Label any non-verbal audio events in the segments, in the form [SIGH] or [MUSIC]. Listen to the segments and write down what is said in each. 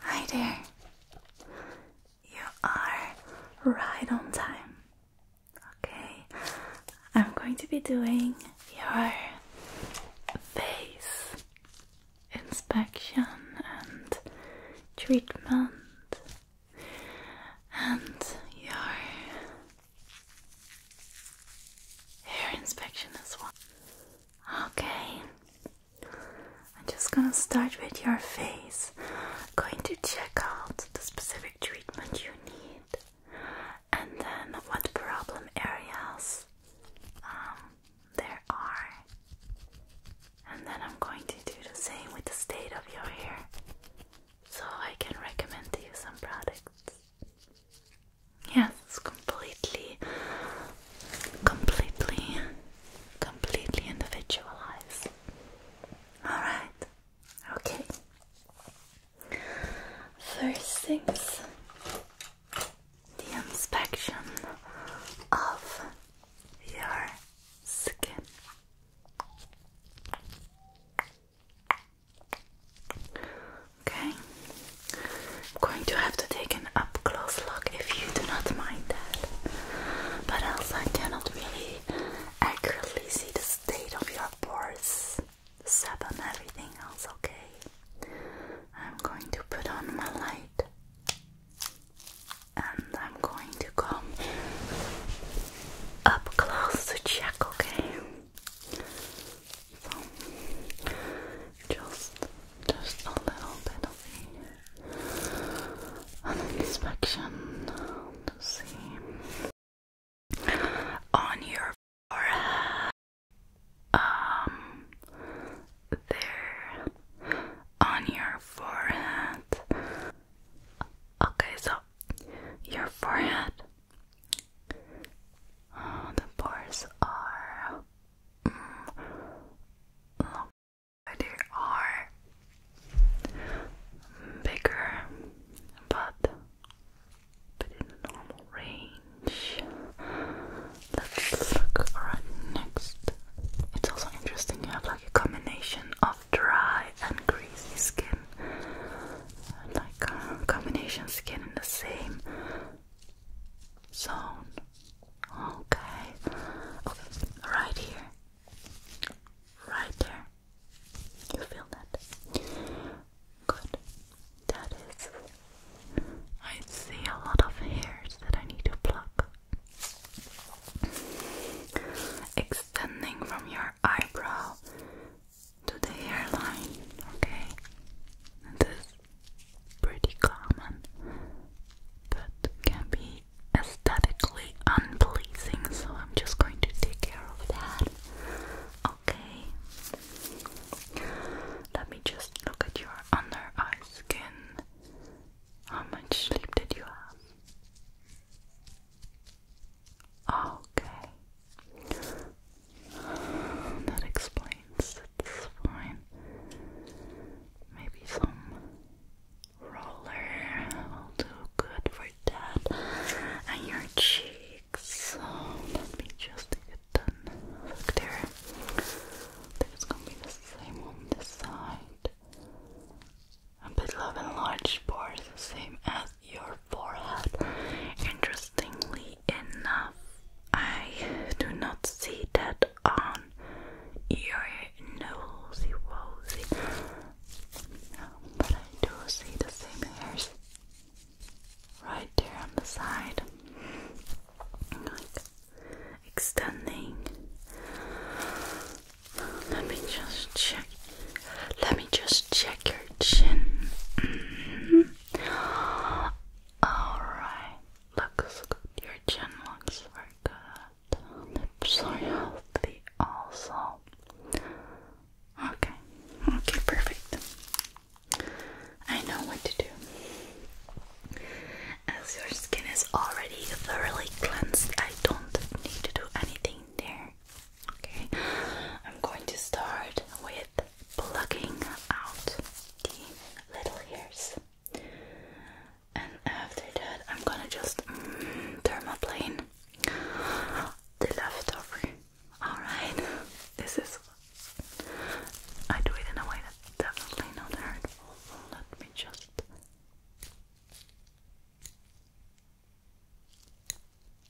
Hi there. You are right on time. Okay, I'm going to be doing your face inspection and treatment and your hair inspection as well. Okay, I'm just gonna start with your face. I'm going to check out the specific treatment you need and then what problem areas um, there are. And then I'm going to do the same with the state of your hair so I can recommend to you some products. Yes, it's completely, completely, completely individualized. Alright, okay. First things the inspection of your skin. Okay, I'm going to have to take an up close look if you do not mind that. But else, I cannot really accurately see the state of your pores, sap, everything else. Okay, I'm going to put on my light and I'm going to come up close to check. Okay just just a little bit of the, an inspection to see on your forehead. Um, there on your forehead. Okay, so your forehead. Uh, the pores are they are bigger, but within the normal range. Let's look right next. It's also interesting you have like a combination of dry and greasy skin, like uh, combination skin in the same zone. Okay. Okay, right here. Right there. You feel that? Good. That is. I see a lot of hairs that I need to pluck. Extending from your eyebrow to the hairline. Okay. this pretty common, but can be aesthetically unpleasing, so I'm just going to take care of that. Okay, let me just look at your under eye skin. How much sleep did you have? Okay. [SIGHS] That explains it's fine. Maybe some roller will do good for that. And your cheeks. So let me just get done. Look there. It's gonna be the same on this side. A bit love and large pores, the same as your forehead. Interesting interestingly enough, I do not see that on your nosy wosy, but I do see the same hairs right there on the side, like extending. Let me just check. Let me just check your chin. Mm-hmm. Alright, looks good. Your chin looks very good. Lips also. Okay, okay, perfect. I know what to do. As your skin is already thoroughly cleansed, I don't need to do anything there. Okay, I'm going to start with Plugging out the little ears, And after that, I'm gonna just mm, the leftover. Alright, this is. I do it in a way that's definitely not hurtful. Let me just.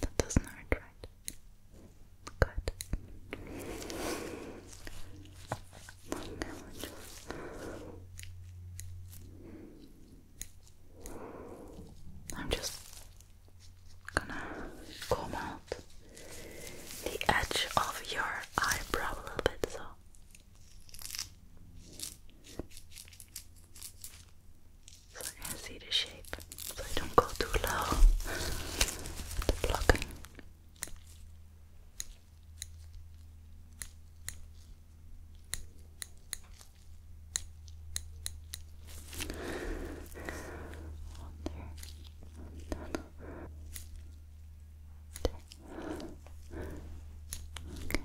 That doesn't hurt, right? Good. I'm just gonna comb out the edge of your eyebrow a little bit, so so I can see the shape, so I don't go too low the blocking. there. there. Okay.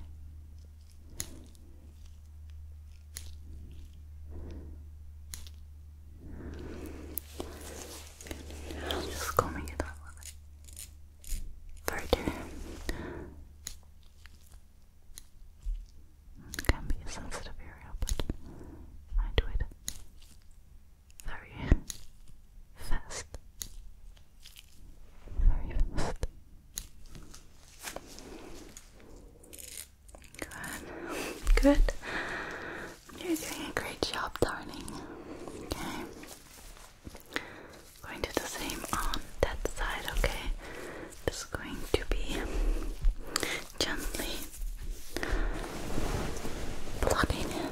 I'm just coming it out further. can be a sensitive area, but I do it very fast. Very fast. Good. Good. You're doing a great job, darling. Okay. Going to do the same on that side, okay? Just going to be gently plugging in.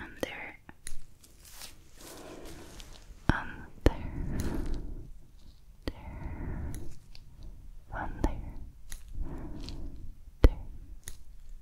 And there, um, there, there, there,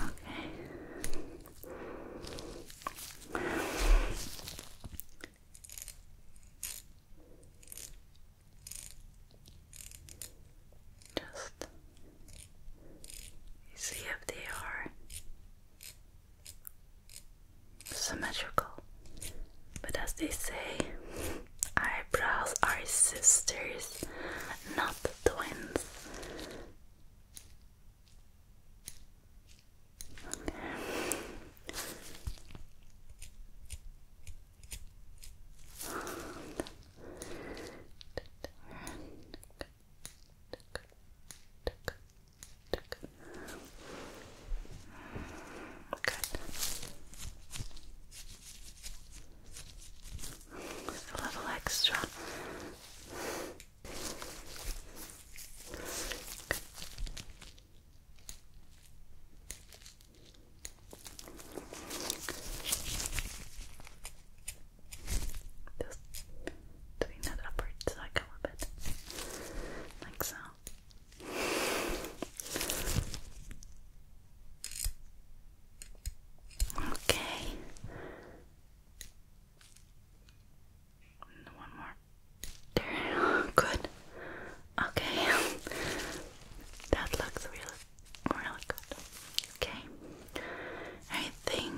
Okay. Just see if they are symmetrical, but as they say, eyebrows are sisters, not twins. Good. a little extra. Just doing that upward cycle a bit, like so. Okay. One more. There. [LAUGHS] Good. Okay. [LAUGHS] That looks really, really good. Okay. I think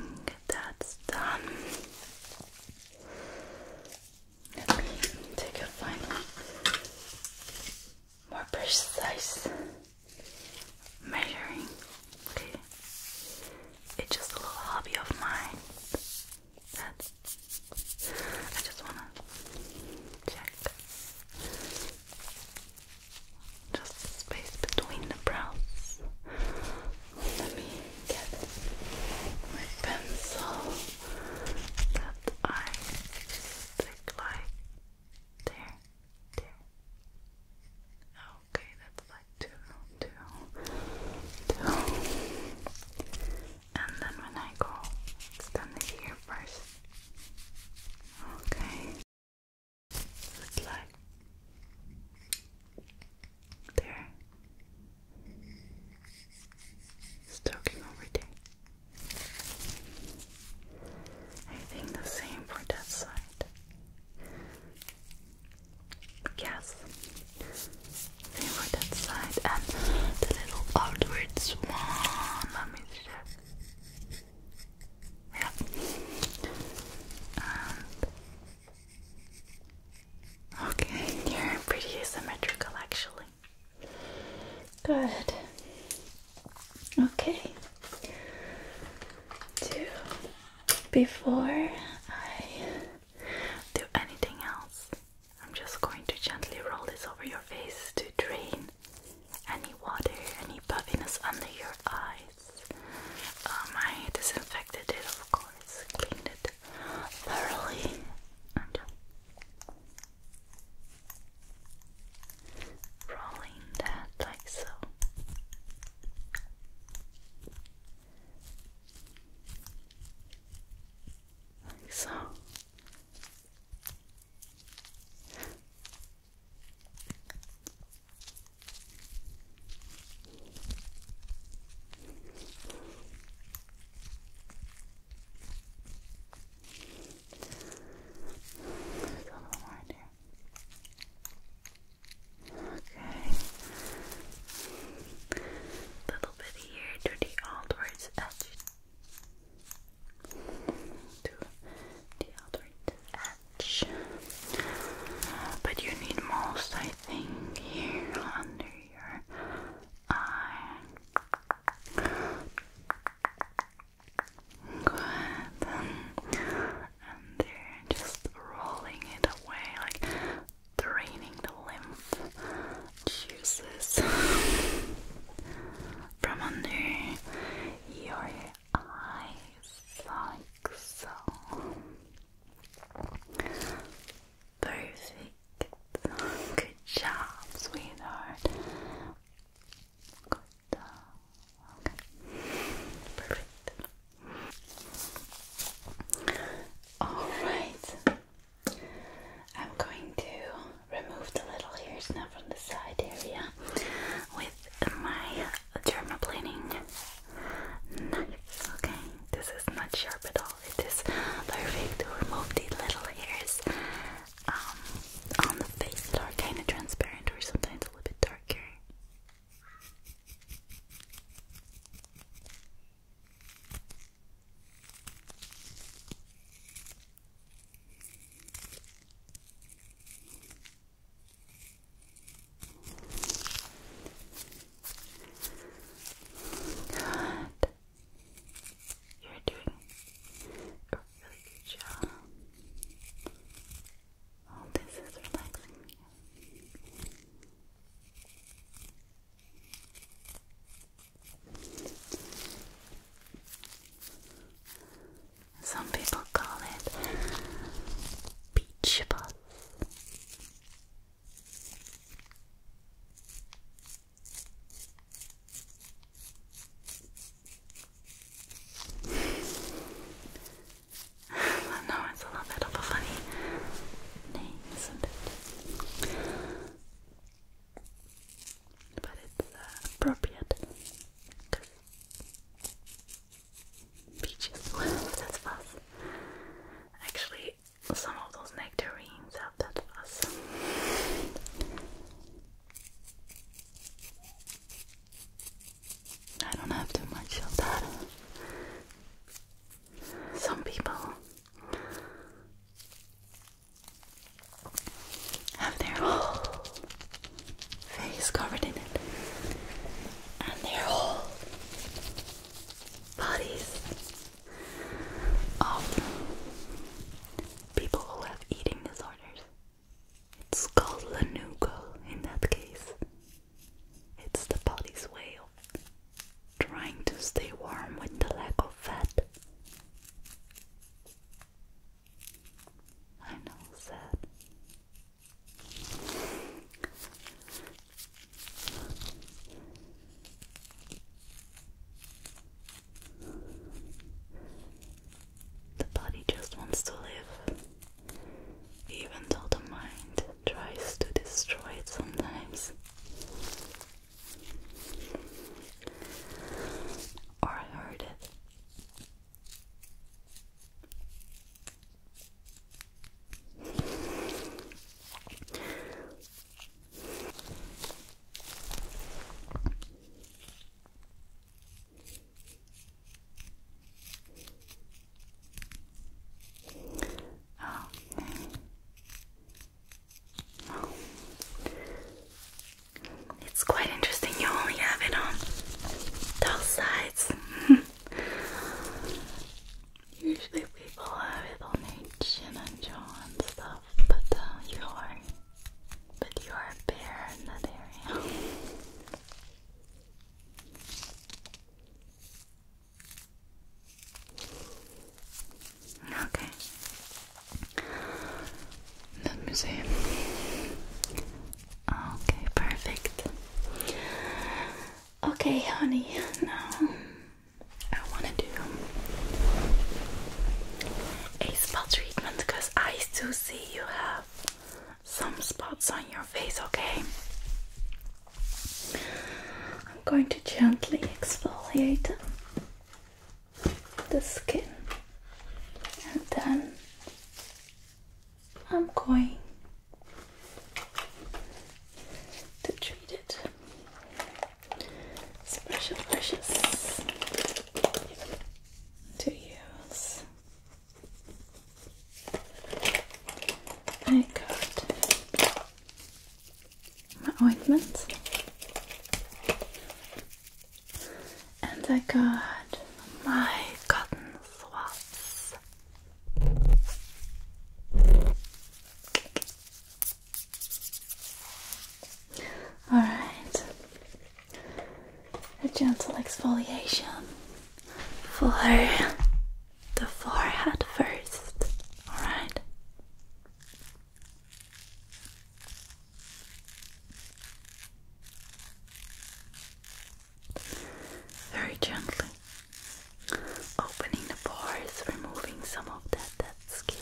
that's done. Let me take a final, more precise measuring. Okay, it's just a little hobby of mine. That I just wanna check just the space between the brows. Let me get my pencil that I stick like there, there. Okay, that's like two, two, two. And then when I go, extend it here first. Okay. It's like there, Stalking over there. I think the same for that side. Yes. Same for that side and the little outwards one. Let me check. Yeah. okay, [LAUGHS] you pretty asymmetrical actually. Good. Okay. before I do anything else, I'm just going to gently roll this over your face to drain any water, any puffiness under your eyes. Um, I disinfected it, of course, cleaned it thoroughly rolling that like so. Like so a little Okay. bit here to the outwards edge. To the outward edge. But you need most, I think, here under your eye. Good. And you're just rolling it away, like draining the lymph juices from under your eyes, like so. Perfect. Good job, sweetheart. Good job. Okay. Perfect. Alright. I'm going to remove the little hairs now from the side area with my dermaplaning knife. Okay. This is not sharp at all it is perfect to remove the little hairs um, on the face that are kind of transparent or sometimes a little bit darker. You're doing a really good job. All this is relaxing Some people call it beach bus. I [SIGHS] know a little bit of a funny name, isn't it? But it's uh, appropriate beaches, [LAUGHS] that's fast. Actually, some of those nectarines have that fuzz. I don't have too much of that. Some people have their whole face covered in it and their whole bodies of um, people who have eating disorders. It's called lanugo in that case. It's the body's way of trying to stay warm with the lack of fat. I know, sad. The body just wants to live, even though the mind tries to destroy it sometimes. Or I it. Oh. It's quite interesting. You only have it on those sides. [LAUGHS] Usually people have it on their chin and jaw and stuff, but uh, you are, but you are a bear in that area. [LAUGHS] Okay. Let me Okay, perfect. Okay, honey, now I want to do a spot treatment because I still see you have some spots on your face, okay? I'm going to gently exfoliate the skin and then I'm going to treat it Special brushes to use. I got my ointment, and I got my cotton swabs. Alright, a gentle exfoliation for the forehead first. Alright. Very gently opening the pores, removing some of that dead skin.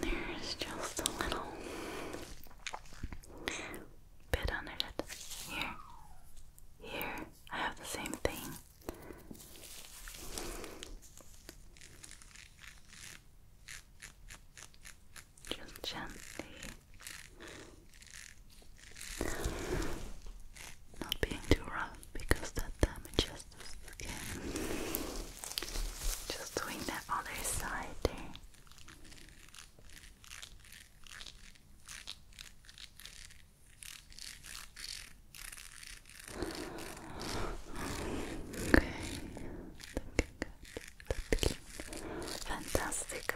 There's just a little bit under it. Here. Here. I have the same thing. Just gently not being too rough because that damages the skin. Just doing that other side there. Okay. Fantastic.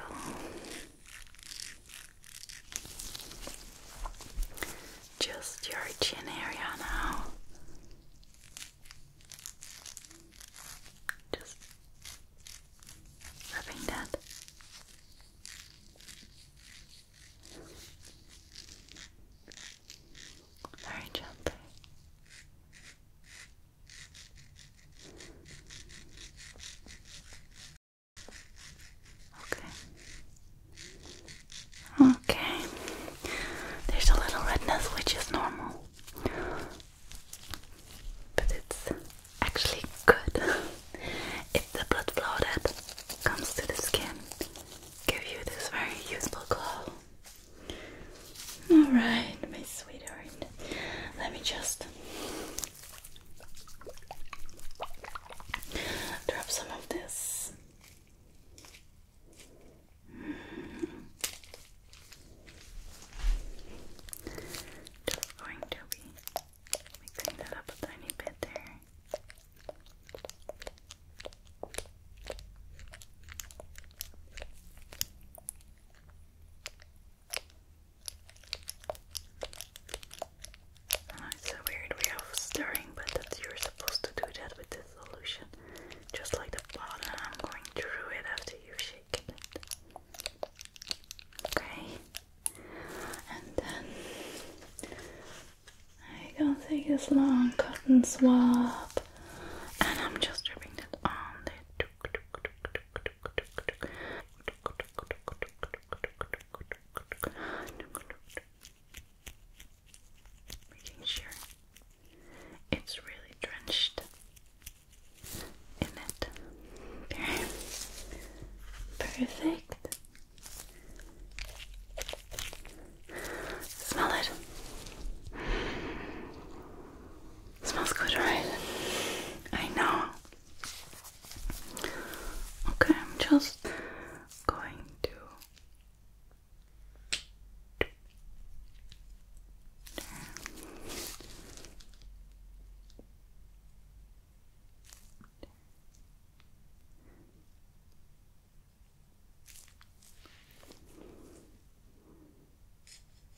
Just your chin area now. Just rubbing that. Very gently. Okay. Okay. There's a little redness which is normal. But it's actually good. It's the blood flow that comes to the skin. Give you this very useful glow. Alright, my sweetheart. Let me just drop some of this. Just going to be that up a tiny bit there. Oh, it's a weird way of stirring, but that you're supposed to do that with this solution. Just like the bottom, I'm going through it after you've it. Okay, and then I go take this long cotton swab, and I'm just dripping that on the Making sure it's really drenched in it. Perfect. Smell it. Smells good, right? I know. Okay, I'm just going to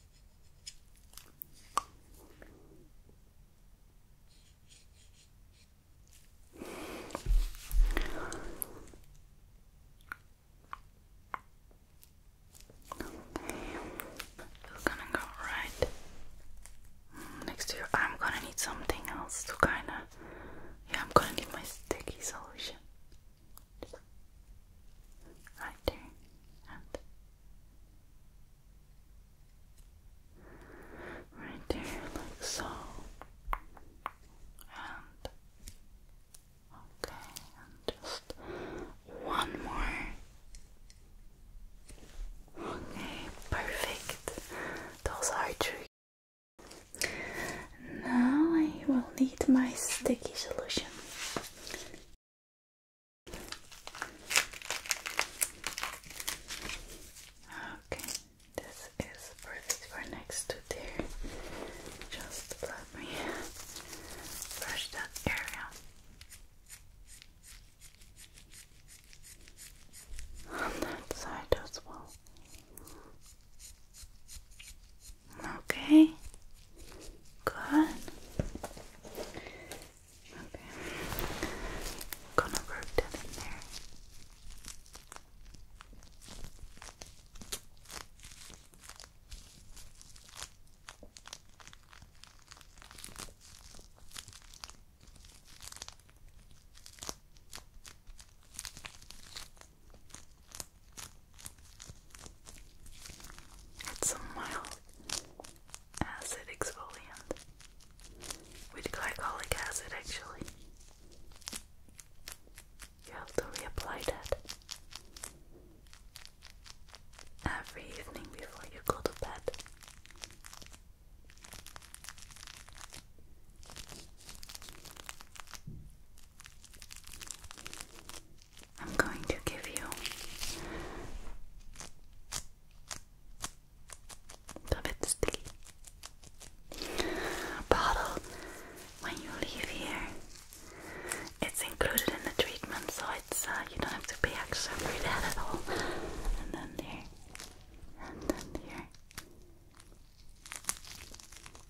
you gonna go right next to you. I'm gonna need something else to kinda. Yeah, I'm gonna need my sticky solution right there and right there, like so. And okay, and just one more. Okay, perfect. Those are true. Now I will need my sticky solution. Okay, this is perfect for next to there. Just let me brush that area. On that side as well. Okay. Good. Okay. Gonna rub that in there. It's a mild acid exfoliant with glycolic acid actually. You have to reapply that every evening before you go to bed. I'm going to give you a bit bottle when you leave here. It's included in the treatment, so it's uh, you don't have to pay extra for that at all. And then there, and then there.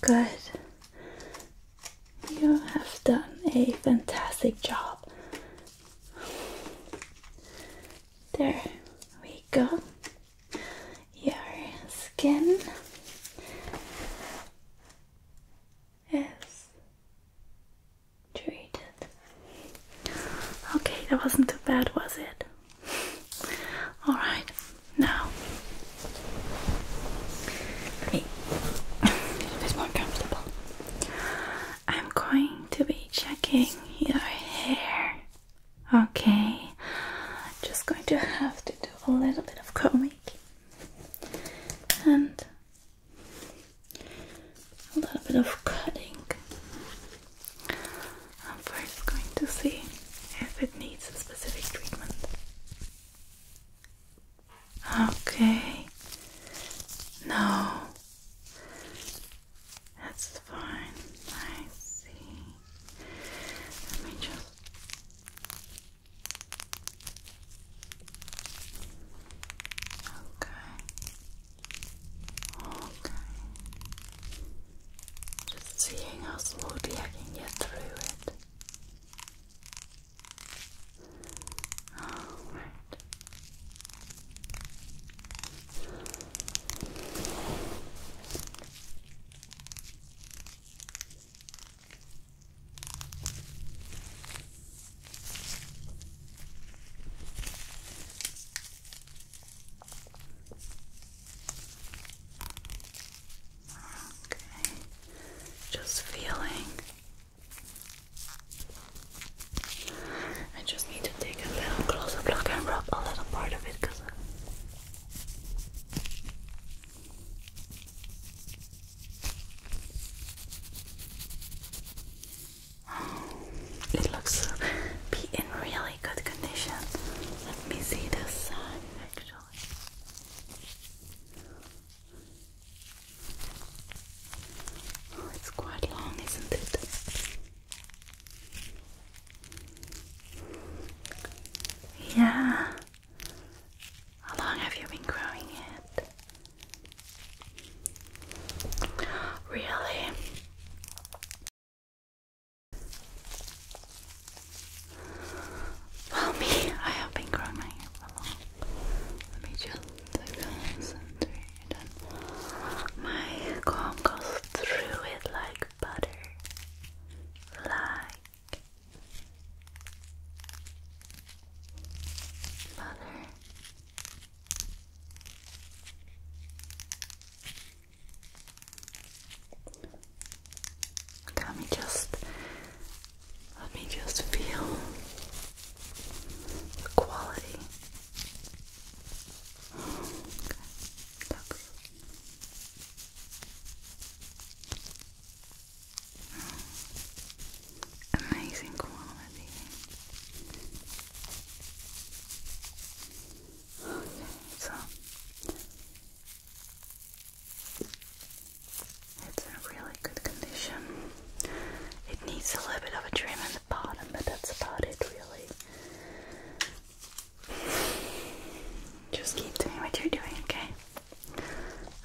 Good. You have done a fantastic job. There we go. Your skin is treated. Okay, that wasn't too bad, was it? All right, now me more comfortable. I'm going to be checking your hair. Okay, just going to have to do a little bit of combing and a little bit of cutting. I'm first going to see if it needs a specific treatment. Okay. No. That's fine. I see. Let me just. Okay. Okay. Just seeing how slowly I can get through it. Alright. Okay, just feeling. I just need to take a little closer look and rub a little part of it because it looks to be in really good condition. Let me see this side actually. Oh, it's quite long, isn't it? Yeah. How long have you been growing it? Really? Well, me, I have been growing my hair for long. Let my comb goes through it like butter. Like butter let me just let me just feel the quality. Okay. Look. Amazing quality so it's in really good condition. It needs a little bit of a trim in the bottom, but that's about it, really. Just keep doing what you're doing, okay?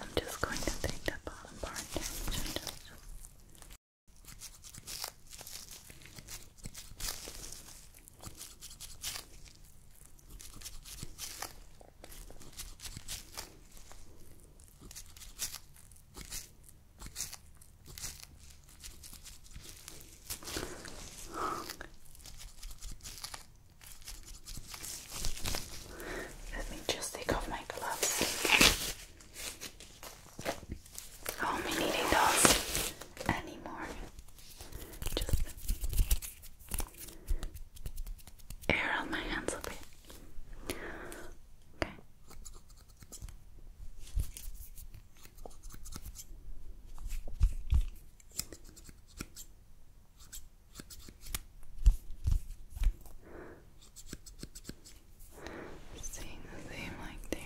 I'm just going to take that bottom part. Let me just take off my gloves. I am not be needing those anymore. Just air on my hands a bit. Okay. Seeing the same like there.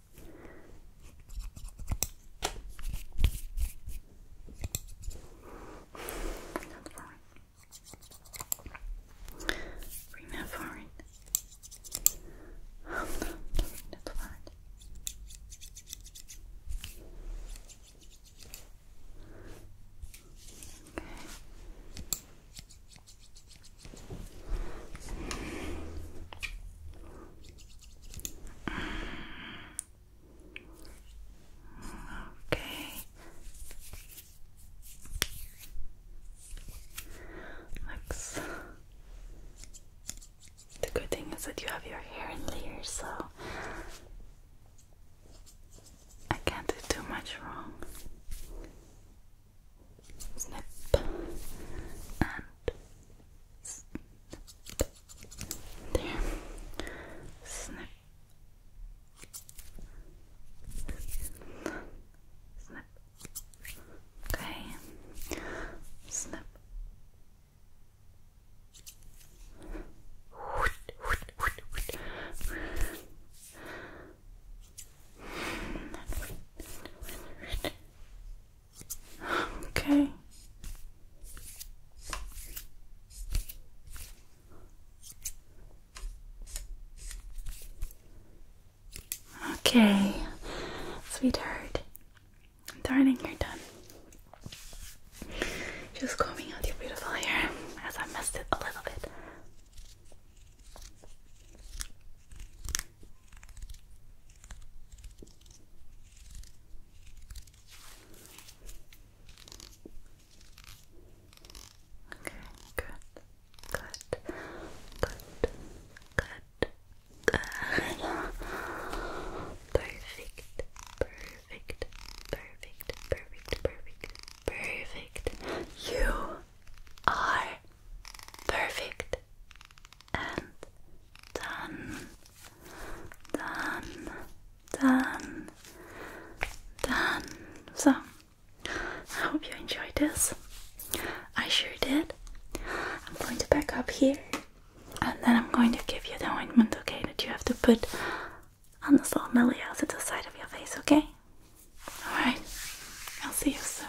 Not foreign. Bring that foreign. I'm not doing that foreign. Okay. Okay. Looks. The good thing is that you have your hair in layers, so I can't do too much wrong snip and snip. There. Snip. Snip. Okay. Snip. Okay. Okay, sweetheart. Darling, you're done. Just combing out your beautiful hair as I messed it a little bit. Okay, good, good, good, good, good. Perfect, perfect, perfect, perfect, perfect, perfect. You are Perfect. And done. Done. Done. Done. So, I hope you enjoyed this. I sure did. I'm going to back up here and then I'm going to give you the ointment, okay, that you have to put on this little malleus at the side of your face, okay? Alright, I'll see you soon.